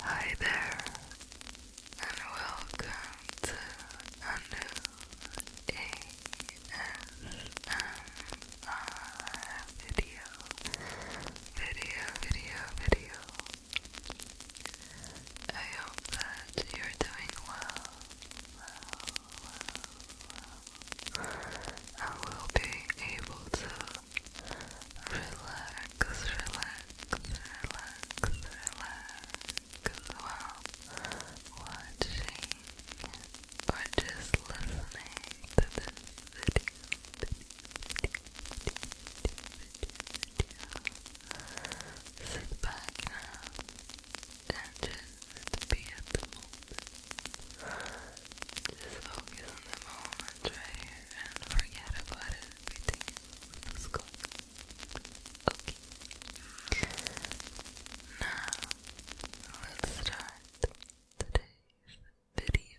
Hi there, and welcome to a new ASMR video, video, video, video. I hope that you're doing well, well. I will be able to relax, relax, relax while watching or just listening to this video, video, video, video, video. Sit back now and just be at the just focus on the moment right here and forget about everything that's going on. Okay. Now, let's start today's video.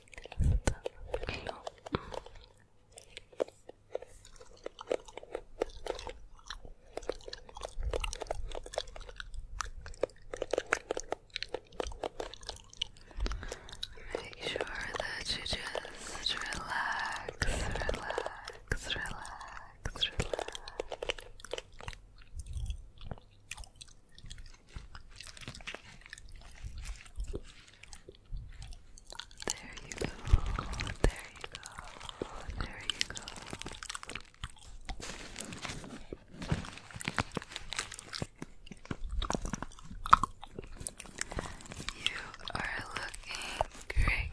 Make sure that you just relax, relax, relax, relax. There you go. There you go. There you go. You are looking great.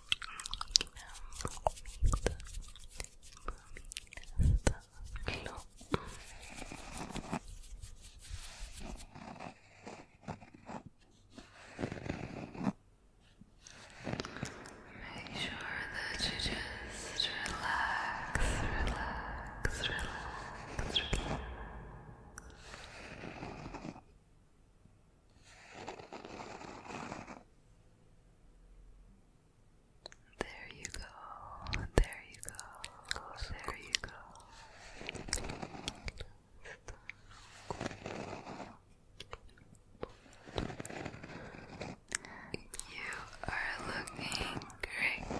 Booming the glow. Make sure that you just relax, relax, relax, relax. There you go. There you go. There you go. You are looking great.